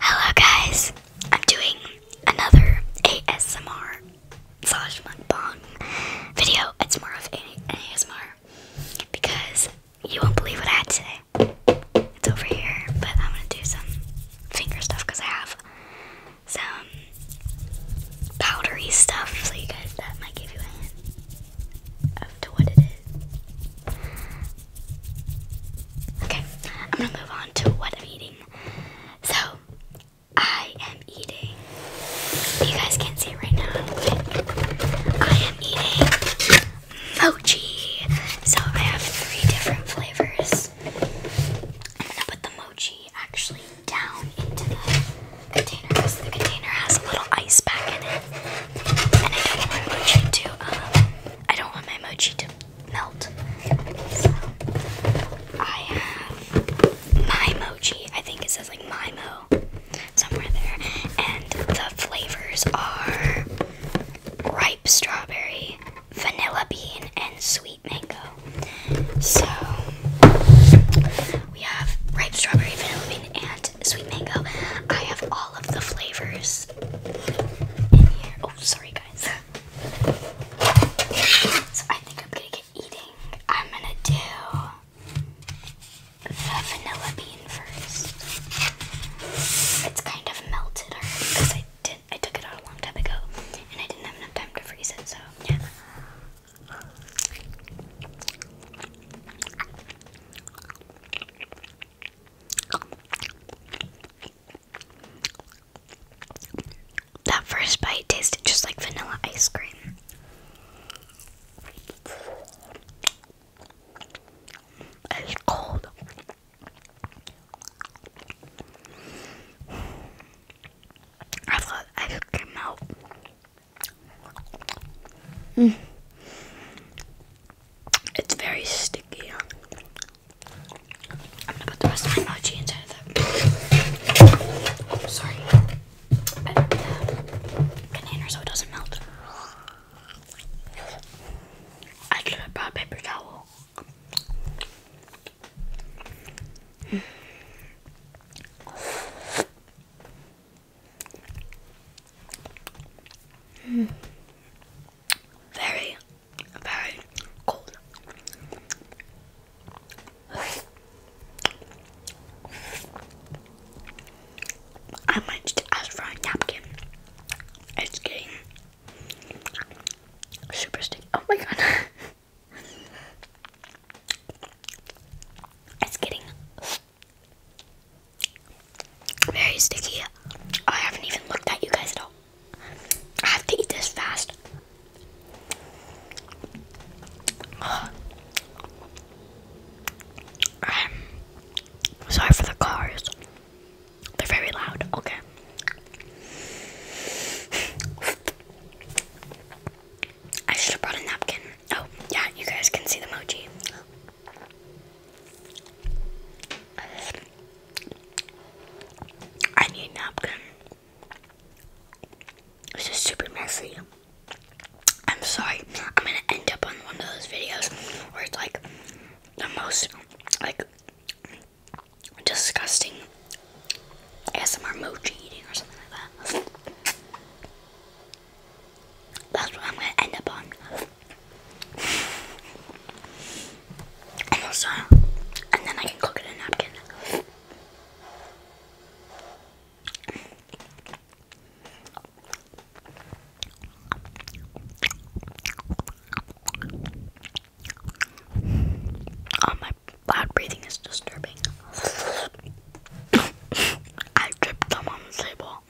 Hello guys, I'm doing another ASMR slash mukbang video. It's more of an ASMR because you won't believe what I had today. It's over here, but I'm gonna do some finger stuff because I have some powdery stuff. So you guys, that might give you a hand to what it is. Okay, I'm gonna move on to what I'm eating. So, I am eating. You guys can't see it right now, but I am eating mochi. So, I have three different flavors. I'm gonna put the mochi actually down into the container because the container has a little ice pack in it. And I don't want mochi to um, I don't want my mochi to melt. I have my mochi. I think it says like my mo somewhere there. And the flavors are ripe strawberry, vanilla bean, and sweet mango. So we have ripe strawberry, vanilla bean, and sweet mango. I have all of the flavors in here. Oh, sorry, guys. So I think I'm gonna get eating. I'm gonna do the vanilla bean first. It's kind of melted already because I did I took it out a long time ago and I didn't have enough time to freeze it, so yeah. That first bite tasted just like vanilla ice cream. It's cold. I thought ice cream out. Mm. It's very sticky. I'm gonna put the rest of my emoji inside of that. I'm sorry. I put the container so it doesn't melt. I could have brought paper towel. Very, very cold. I might just ask for a napkin. It's getting super sticky. Oh my god. it's getting very sticky. I haven't even looked at you guys at all. I have to eat this fast. sorry for the cars. They're very loud. Okay. I should have brought a napkin. Oh, yeah, you guys can see the mochi. I need napkin. It's just super messy. I'm sorry. I'm gonna end up on one of those videos where it's like the most like disgusting ASMR mochi eating or something like that. That's what I'm going to end up on. And then I can cook it in a napkin. Oh, my loud breathing is disturbing. I tripped them on the table.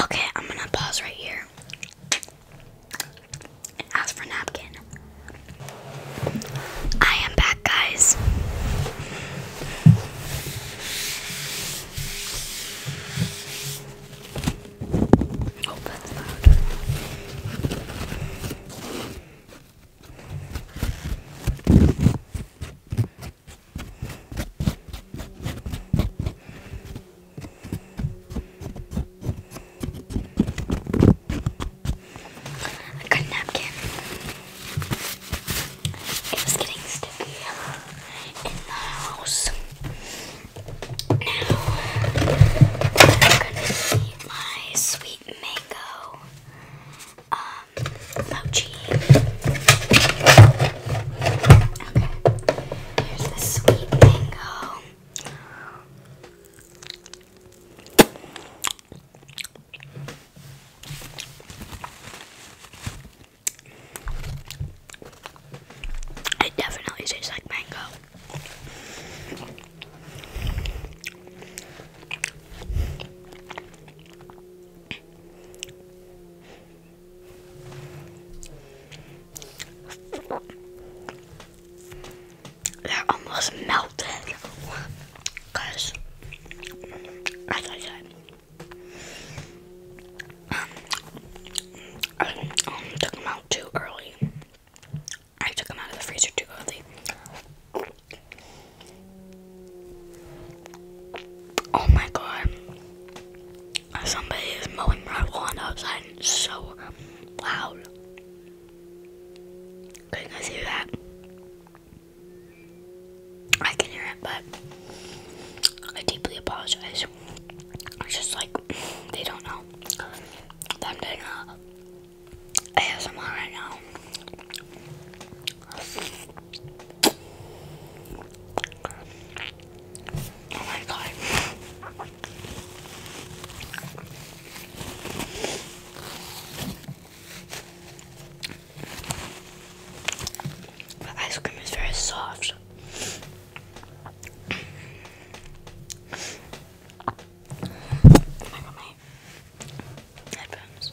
Okay, I'm gonna pause right here and ask for napkin. I am back, guys. Oh, loud. I got a napkin. It was getting sticky in the house. Now I'm gonna eat my sweet mango um, mochi. Okay. Here's the sweet mango. It definitely tastes like mango. They're almost melted. Because, as I said, I took them out too early. I took them out of the freezer too early. Oh my god. Somebody is mowing my lawn outside and it's so loud. Can you guys hear that? I can hear it, but I deeply apologize. It's just like, they don't know that I'm doing uh, a ASMR right now. Oh my god. The ice cream is very soft. I got my headphones.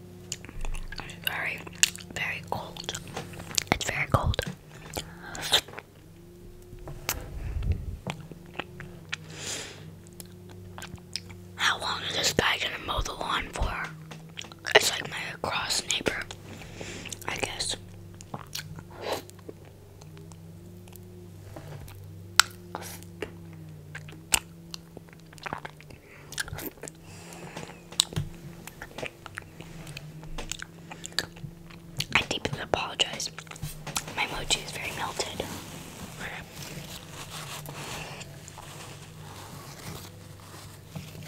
It's very, very cold. It's very cold. How long is this guy gonna mow the lawn for? It's like my across neighbor, I guess. I deeply apologize. My mochi is very melted.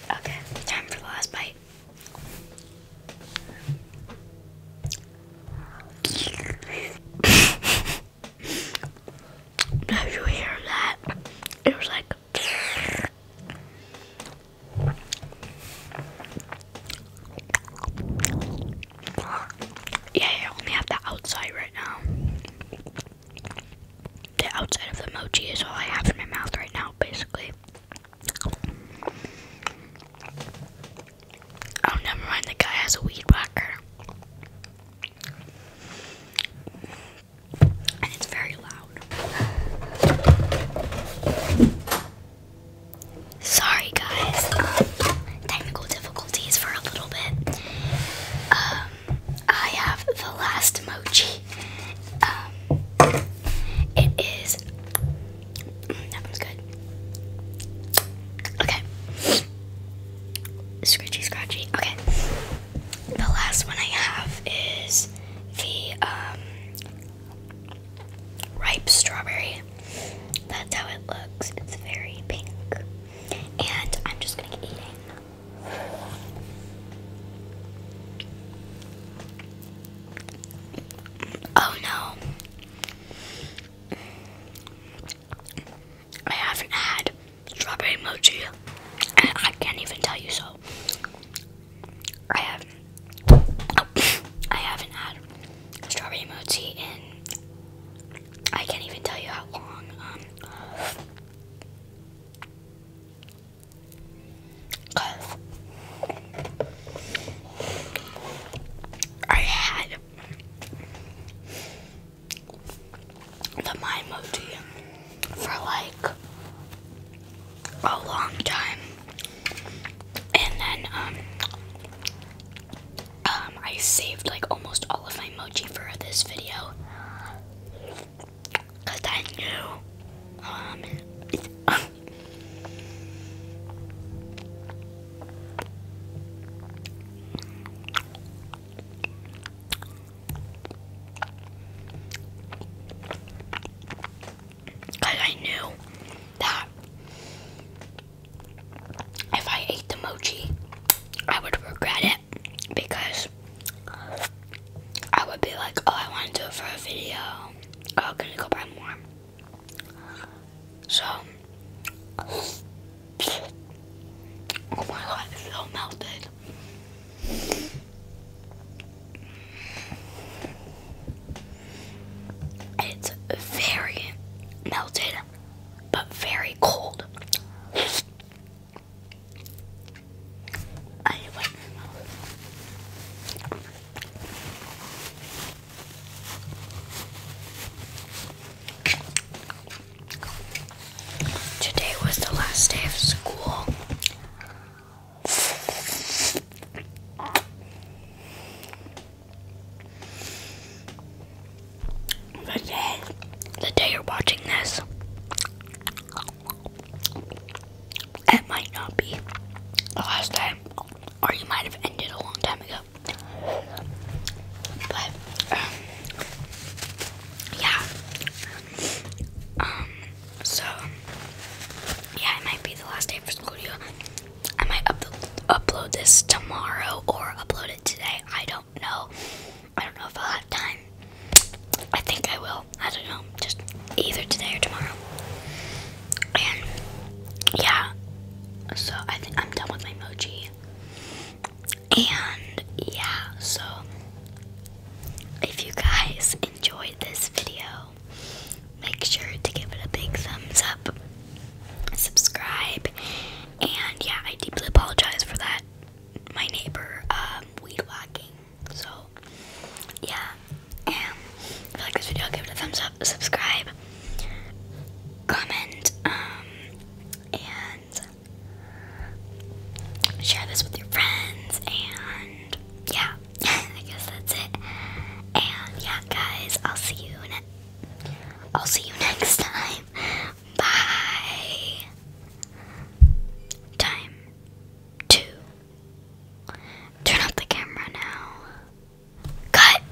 Okay, time for the last bite. Did you hear that? It was like yeah, I only have the outside right now. The outside of the mochi is all I have in my mouth right now, basically. Oh, never mind, the guy has a weed whacker it's Sorry, guys. Um, technical difficulties for a little bit. Um, I have the last emoji. Um, it is. Mm, that one's good. Okay. Scratchy, scratchy. Okay the last one I have is the um, ripe strawberry. That's how it looks. It's very pink. And I'm just going to get eating. Oh no. I haven't had strawberry mochi, and I can't even tell you so. I have I haven't had strawberry mochi in. I can't even tell you how long. Um, I had the my emoji for like a long time, and then um um I saved like almost all of my emoji for this video because I knew um. Because I knew that if I ate the mochi, I would regret it because I would be like, oh, I want to do it for a video. Oh, I'm gonna go buy more. So, Oh my god, it's so melted. It's very melted, but very cold. I wipe my Today was the last day of school. The day, the day you're watching this, it might not be the last day, or you might have ended a long time ago. But um, yeah. Um so yeah, it might be the last day for school. I might up upload this tomorrow or upload it today. I don't know. I don't know if I'll have time. I think I will. I don't know. Just either today or tomorrow. And yeah. So I think I'm done with my mochi. And yeah, so if you guys enjoyed this video, make sure to give it a big thumbs up, subscribe, and yeah, I deeply apologize for that. My neighbor, um, weed whacking. So yeah, and if you like this video, give it a thumbs up subscribe, comment, um, and share this with your friends. And yeah, I guess that's it. And yeah, guys, I'll see you. I'll see you next time. Bye. Time two. Turn off the camera now. Cut!